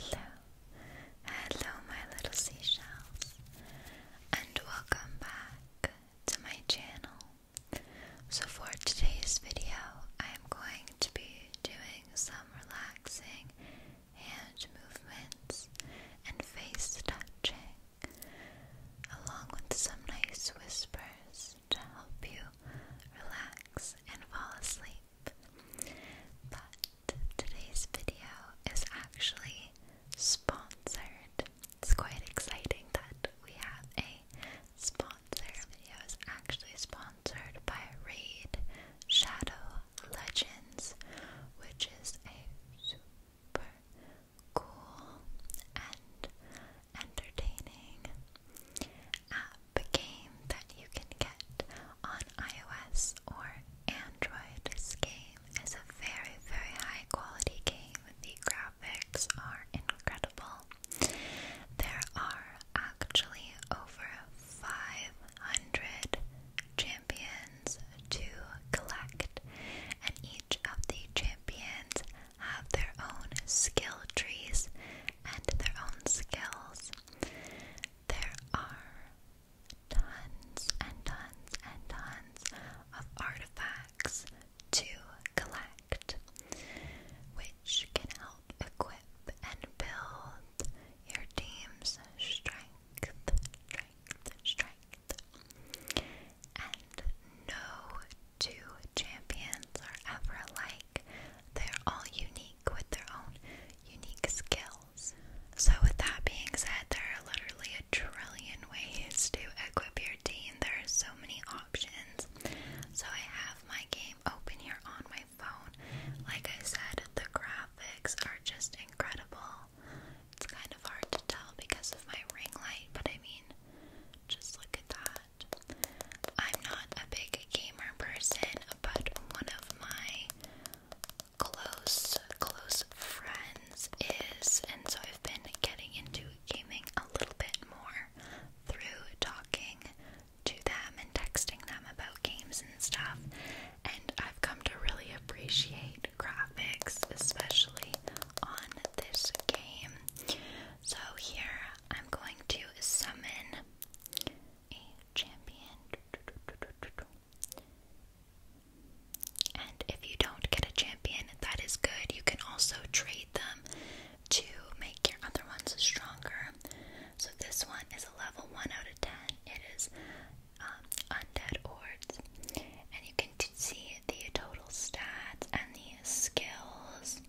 Hello, hello, my little seashells, and welcome back to my channel. So, for today's video, I am going to be doing some relaxing hand movements and face touching, along with some nice whispers to help you relax and fall asleep. But today's video is actually sponsored. It's quite exciting that we have a sponsor. This video is actually sponsored by Raid Shadow Legends, which is a super cool and entertaining app game that you can get on iOS or Android. This game is a very, very high quality game. The graphics are incredible. There are actually over 500 champions to collect, and each of the champions have their own skill trees and their own skills there are tons and tons and tons of artifacts to collect, which can help equip and build your team's strength, strength, strength. And no two champions are ever alike. They're all unique with their own unique skills. So, with that being said, there are literally a trillion ways to equip your team. There are so many options. So, I have my game open here on my phone. Like I said, the graphics are just incredible. It's kind of hard to tell because of my ring light, but I mean, just look at that. I'm not a big gamer person, but one of my close, close friends is, and so I've been getting into gaming a little bit more through talking to them and texting them about games and stuff. And I've come to really appreciate graphics, especially on this game. So, here I'm going to summon a champion. And if you don't get a champion, that is good. You can also trade them to make your other ones stronger. So this one is a level 1 out of 10. It is um, Undead Ords. And you can see the total stats and the skills.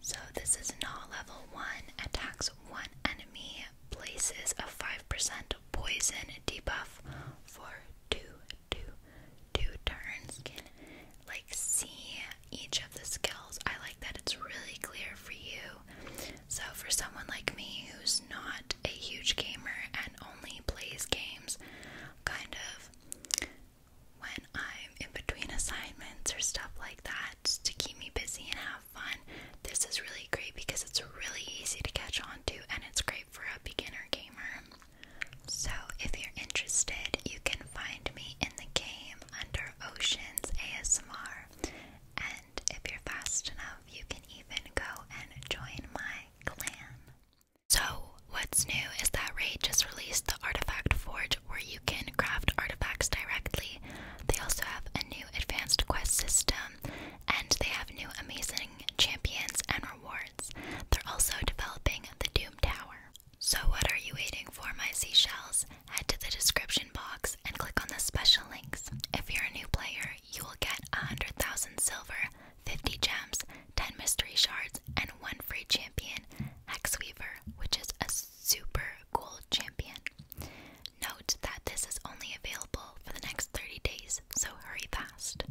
So this is not level one. Attacks one enemy, places a five percent poison debuff for two, two, two turns. can like see each of the skills. I like that it's really clear for you. So for someone like me who's not a huge gamer and only plays games kind of when I'm in between assignments or stuff like that, to keep me busy and have fun, this is really great because it's really easy to catch on to and it's great for a beginner gamer. So, if you're interested, you can find me in the game under Oceans ASMR. And if you're fast enough, you can even go and join my clan. So, what's new is that Raid just released the Artifact Forge where you can craft artifacts directly they also have a new advanced quest system, and they have new amazing champions and rewards. They're also developing the Doom Tower. So, what are you waiting for, my seashells? Head to the description box and click on the special links. If you're a new player, you will get 100,000 silver, 50 gems, 10 mystery shards, and one free champion, Hexweaver, which is a super gold champion. Note that this is only available for the next 30 days, so hurry fast.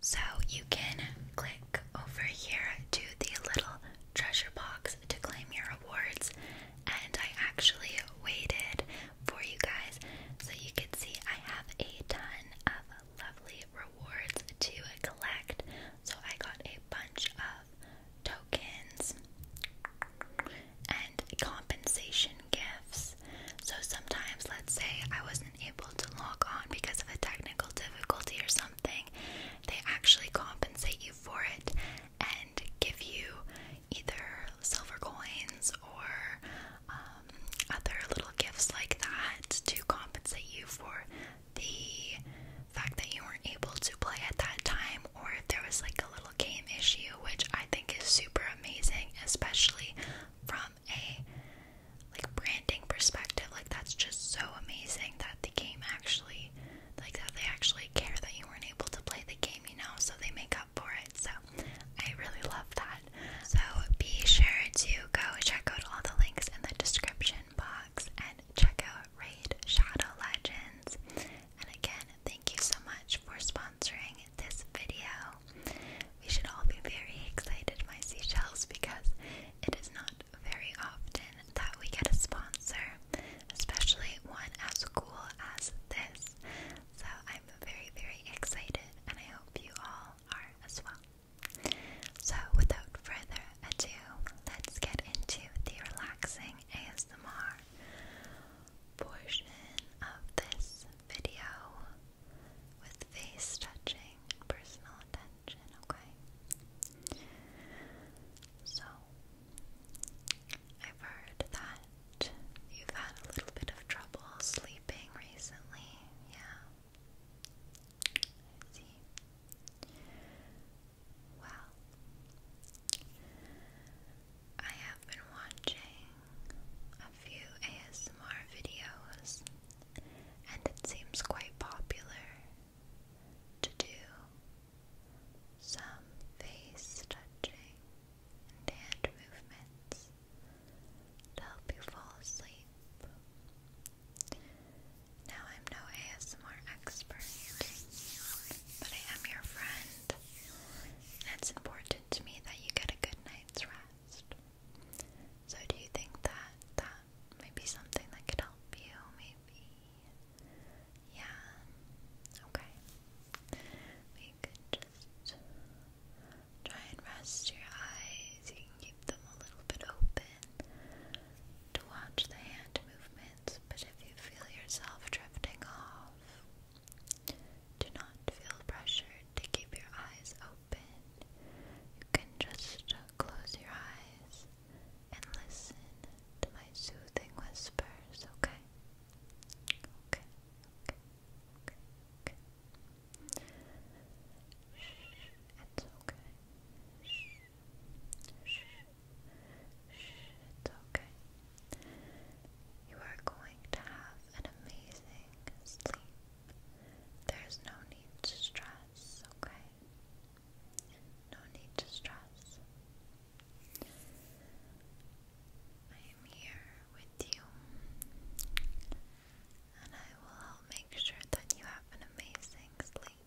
So you can click over here to the little treasure box to claim your rewards, and I actually waited for you guys so you can see I have a ton of lovely rewards to collect. So I got a bunch of of tokens and compensation gifts. So sometimes, let's say I wasn't able to log on because of a technical difficulty or something, they actually compensate you for it and give you either silver coins or um, other little gifts like that to compensate you for the fact that you weren't able to play at that time or if there was like a little game issue, which I think is super amazing, especially from a like branding perspective. Like that's just so amazing that the game actually like that they actually care that you weren't able to play the game, you know, so they make up for it. So I really love that. So be sure to go check out all the links in the description box. And check out Raid Shadow Legends. And again, thank you so much for sponsoring this video. We should all be very excited, my seashells, because it is not very often that we get a sponsor, especially one as cool as this. So I'm very, very excited, and I hope you all are as well. So, without further ado, let's get into the relaxing ASMR portion of this video with face touching personal attention, okay? So, I've heard that you've had a little bit of trouble sleeping recently, yeah? I see. Well, I have been watching a few ASMR videos, and it seems quite popular to do some face touching and hand movements to help you fall asleep. Now, I'm no ASMR expert, but I am your friend, and it's important to me that you get a good night's rest. So, do you think that that might be something that could help you? Maybe? Yeah? Okay. We could just try and rest your eyes. You can keep them a little bit open to watch the hand movements, but if you feel yourself drifting off, do not feel pressured to keep your eyes open. You can just close your eyes and listen to my soothing whispers, okay? Okay, okay, okay, it's okay. Shh. Shh. It's okay. You are going to have an amazing sleep. There's no need to stress, okay? No need to stress. I am here with you, and I will help make sure that you have an amazing sleep.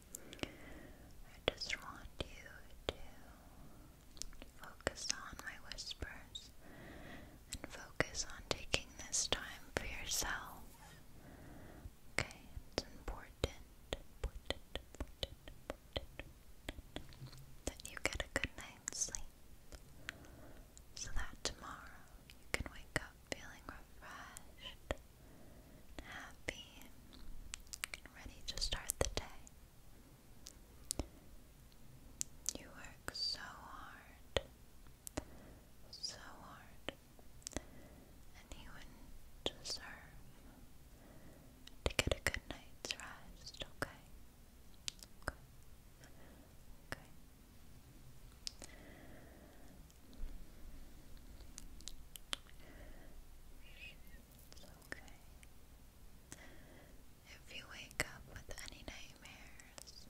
I just want you to focus on my whispers and focus on taking this time for yourself. Okay, it's important, that you get a good night's sleep so that tomorrow you can wake up feeling refreshed happy and ready to start the day. You work so hard, so hard, and you deserve to get a good night's rest, okay? Okay. Okay. It's okay. If you wake up with any nightmares,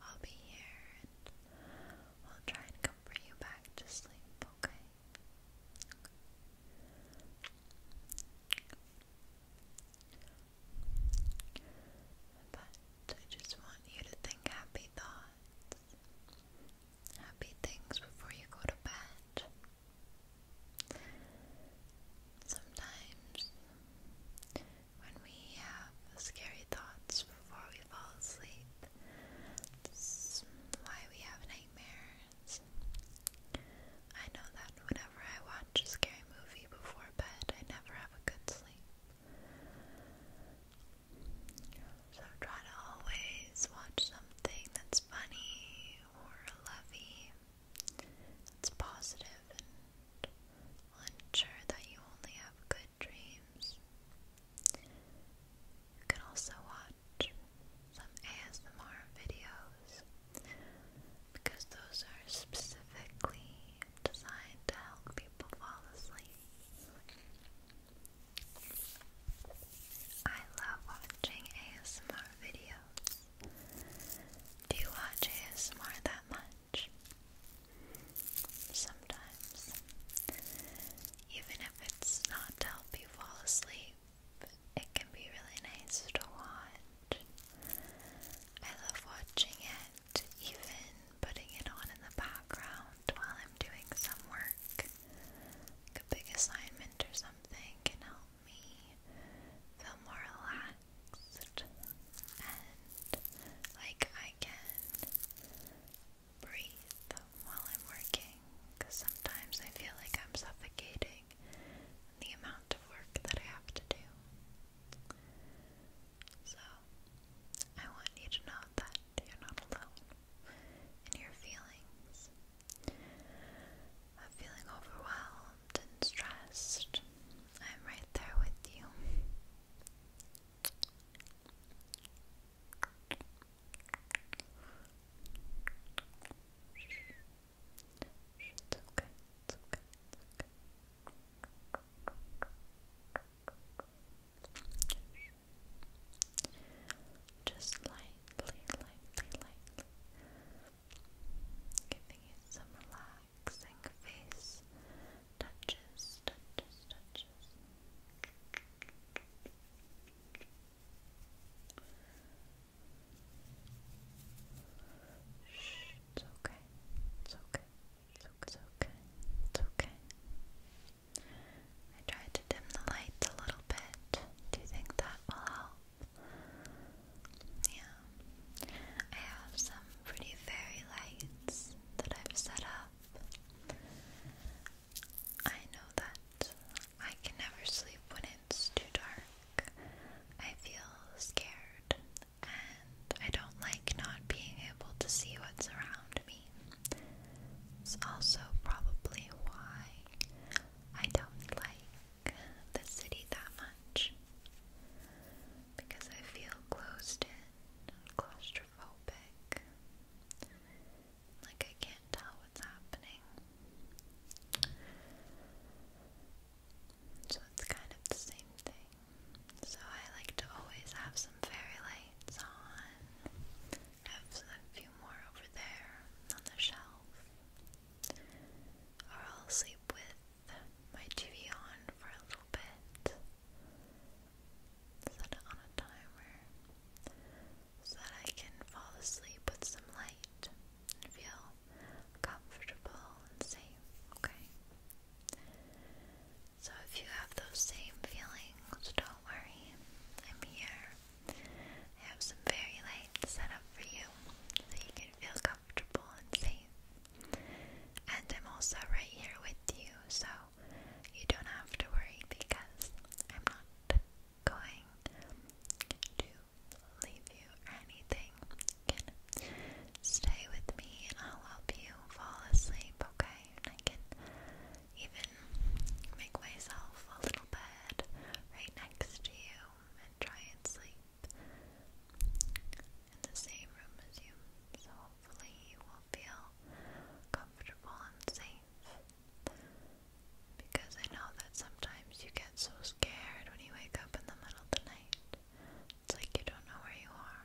I'll be here and we'll try and comfort you back to sleep, okay? But I just want you to think happy thoughts happy things before you go to bed. Sometimes, when we have scary thoughts before we fall asleep, that's why we have nightmares. I know that whenever I watch a scary movie before bed, I never have a good sleep. So try to always watch something that's funny or lovey, that's positive, and ensure that you only have good dreams. You can also watch some ASMR videos because those are specifically designed to help people fall asleep. I love watching ASMR videos. Do you watch ASMR that much? Sometimes. Even if it's not to help you fall asleep, it can be really nice to watch. I love watching it, even putting it on in the background while I'm doing some work a big assignment or something can help me feel more relaxed and like I can breathe while I'm working sometimes I feel like I'm suffocating the amount of work that I have to do. So I want you to know that you're not alone and your feelings of feeling overwhelmed and stressed. I'm right there with you. It's okay, it's okay, it's okay. Just lightly, lightly, lightly. Giving you some relaxing face touches, touches, touches. Shh, it's okay. It's okay. It's okay. It's okay. It's okay. I tried to dim the lights a little bit. Do you think that will help? Yeah. I have some pretty fairy lights that I've set up. I know that I can never sleep when it's too dark. I feel scared and I don't like not being able to see what's around me. It's also probably why I don't like the city that much because I feel closed in, claustrophobic, like I can't tell what's happening. So it's kind of the same thing. So I like to always have some fairy lights on have a few more over there on the shelf. Or I'll sleep with my TV on for a little bit. Set it on a timer so that I can fall asleep with some light and feel comfortable and safe, okay? So if you have those same feelings, things, don't worry. I'm here. I have some fairy lights set up for you so you can feel comfortable and safe. And I'm also right here with you, so you don't have to worry because I'm not going to leave you or anything. stay with me and I'll help you fall asleep, okay? I can even make myself a little bed right next to you and try and sleep in the same room as you. So hopefully you will feel comfortable and safe. Because I know that sometimes you get so scared when you wake up in the middle of the night. It's like you don't know where you are.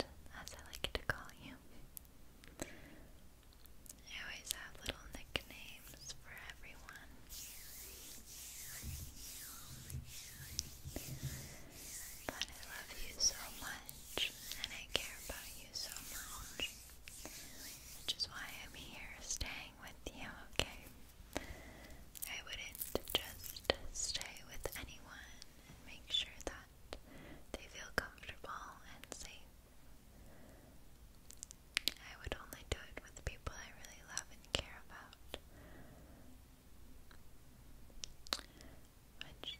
as I like to call you. I always have little nicknames for everyone. But I love you so much, and I care about you so much. Which is why I'm here staying with you, okay? I wouldn't just stay with anyone and make sure that they feel comfortable and safe. I would only do it with people I really love and care about. Which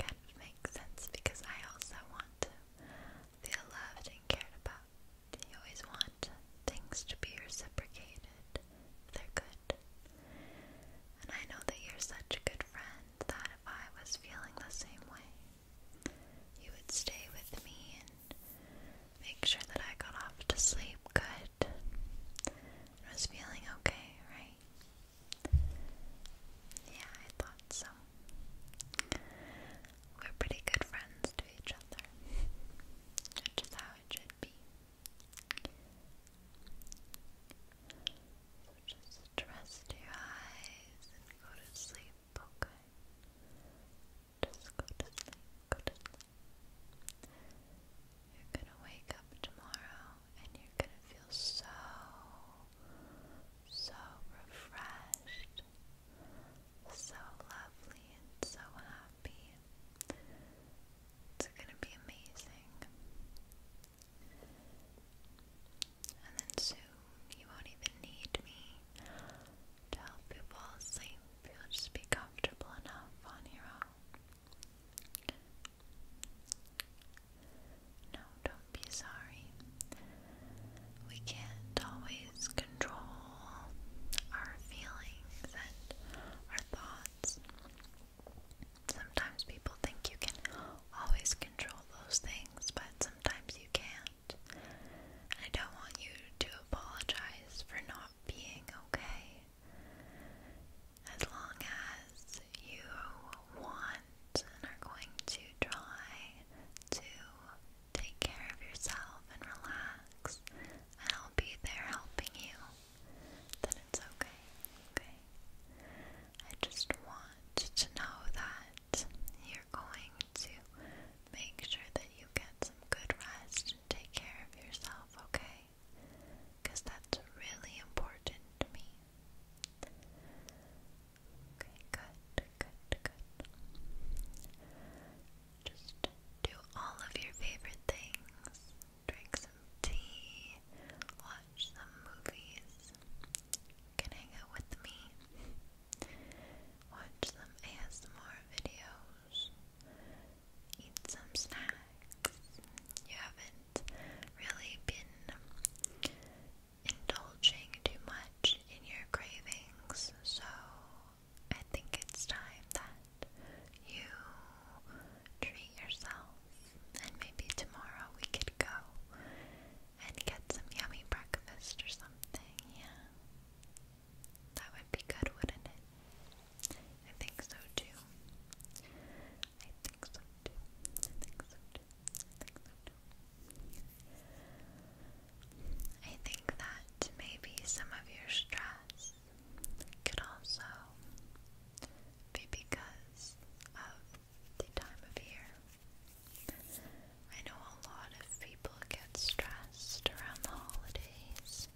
kind of makes sense because I also want to feel loved and cared about. You always want things to be reciprocated. They're good. And I know that you're such a good friend that if I was feeling the same way, you would stay with me and make sure that I got off to sleep good and was feeling okay, right? Yeah, I thought so. We're pretty good friends to each other, which is how it should be. So just trust your eyes and go to sleep, okay? Just go to sleep, go to sleep. You're gonna wake up tomorrow and you're gonna feel so, so refreshed, so lovely and so happy. It's gonna be amazing. And then soon you won't even need me to help you fall asleep. You'll just be comfortable enough on your own. No, don't be sorry. We can't always control our feelings and our thoughts. Sometimes people think you can always control those things, but sometimes you can't. I don't want you to apologize for not being okay. As long as you want and are going to try to take care of yourself and relax, and I'll be there helping you then it's okay, okay? I just want to know that you're going to make sure that you get some good rest and take care of yourself, okay? Because that's really important to me. Okay, good, good, good. Just do all of your favorite things drink some tea, watch some movies, can hang out with me, watch some ASMR videos, eat some snacks. You haven't really been indulging too much in your cravings, so I think it's time that you treat yourself, and maybe tomorrow we could go and get some yummy breakfast or something. Yeah, that would be good, wouldn't it? I think so too. I think so too. I think so too. I think so too. I think that maybe some of your stress could also be because of the time of year. I know a lot of people get stressed around the holidays.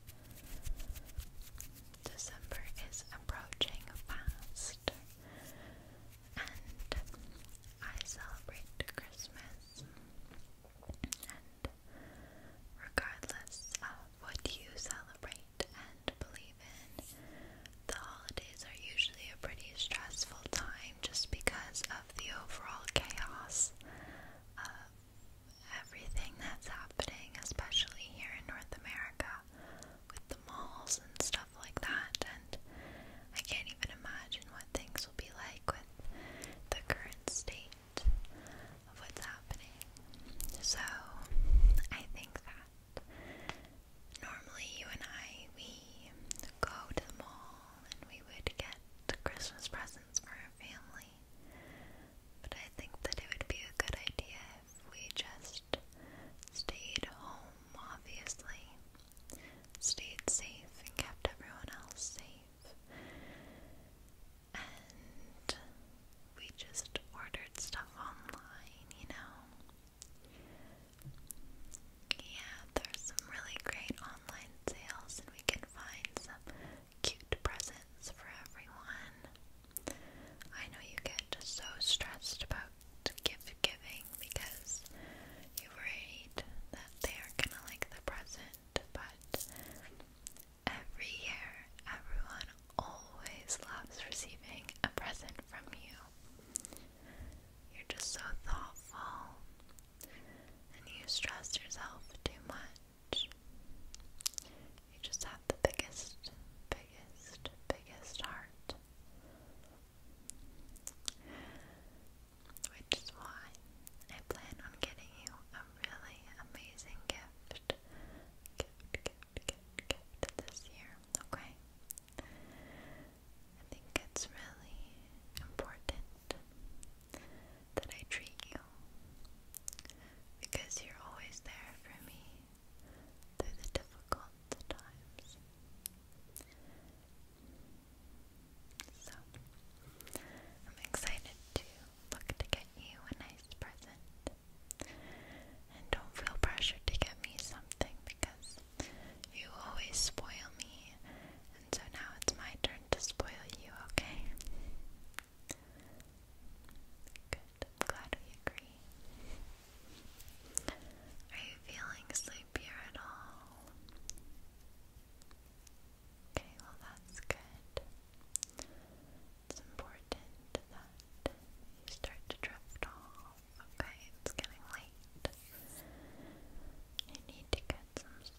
December is approaching fast, and I celebrate Christmas. And regardless of what you celebrate, and believe in. The holidays are usually a pretty stressful time just because of the overall chaos of everything that's happening, especially here in North America with the malls and stuff like that. And I can't even imagine what things will be like with the current state of what's happening. So I think that normally you and I we go to the mall and we would get Christmas presents for our family. But I think that it would be a good idea if we just stayed home, obviously. Stayed safe and kept everyone else safe and we just ordered stuff online, you know. Yeah, there's some really great online sales, and we can find some cute presents for everyone. I know you get so stressed about gift giving because you're worried that they are gonna like the present, but Every year, everyone always loves receiving a present from you. You're just so thoughtful and you stress yourself too much. You just have the biggest, biggest, biggest heart. Which is why I plan on getting you a really amazing gift gift, this year, okay? I think it's really important that I treat you because you're always there for me through the difficult times. So, I'm excited to look to get you a nice present and don't feel pressured to get me something because you always spoil me, and so now it's my turn to spoil you, okay? Good, I'm glad we agree. Are you feeling sleepier at all? Okay, well, that's good it's important that you start to drift off. Okay, it's getting late. You need to get some sleep.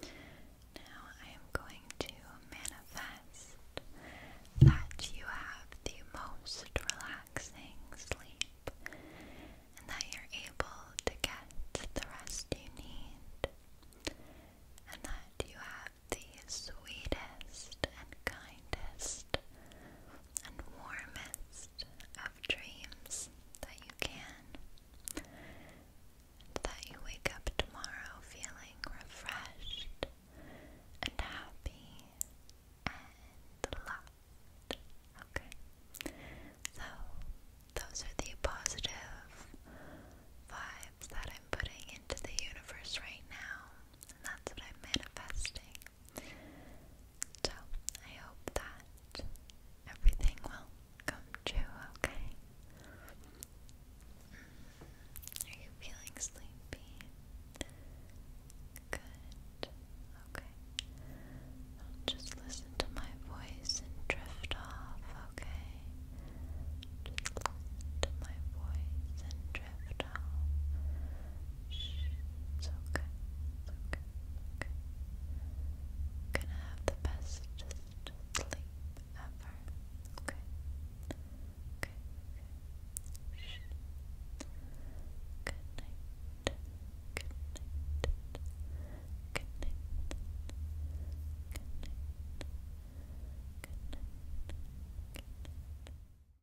Now I am going to manifest that you have the most relaxing sleep and that you're able to get the rest you need and that you have the sweetest and kindest and warmest of dreams that you can, that you wake up tomorrow feeling refreshed and happy and loved. Okay? So, those are the positive vibes that I'm putting into the universe right now, and that's what I'm manifesting. So I hope that everything will come true, okay? Mm, are you feeling sleepy? Good. Okay. just listen to my voice and drift off, okay? Just listen to my voice and drift You're gonna have the best sleep ever. Okay. Okay, okay. Good night. Good night. Good night. Good night. Good night. Good night.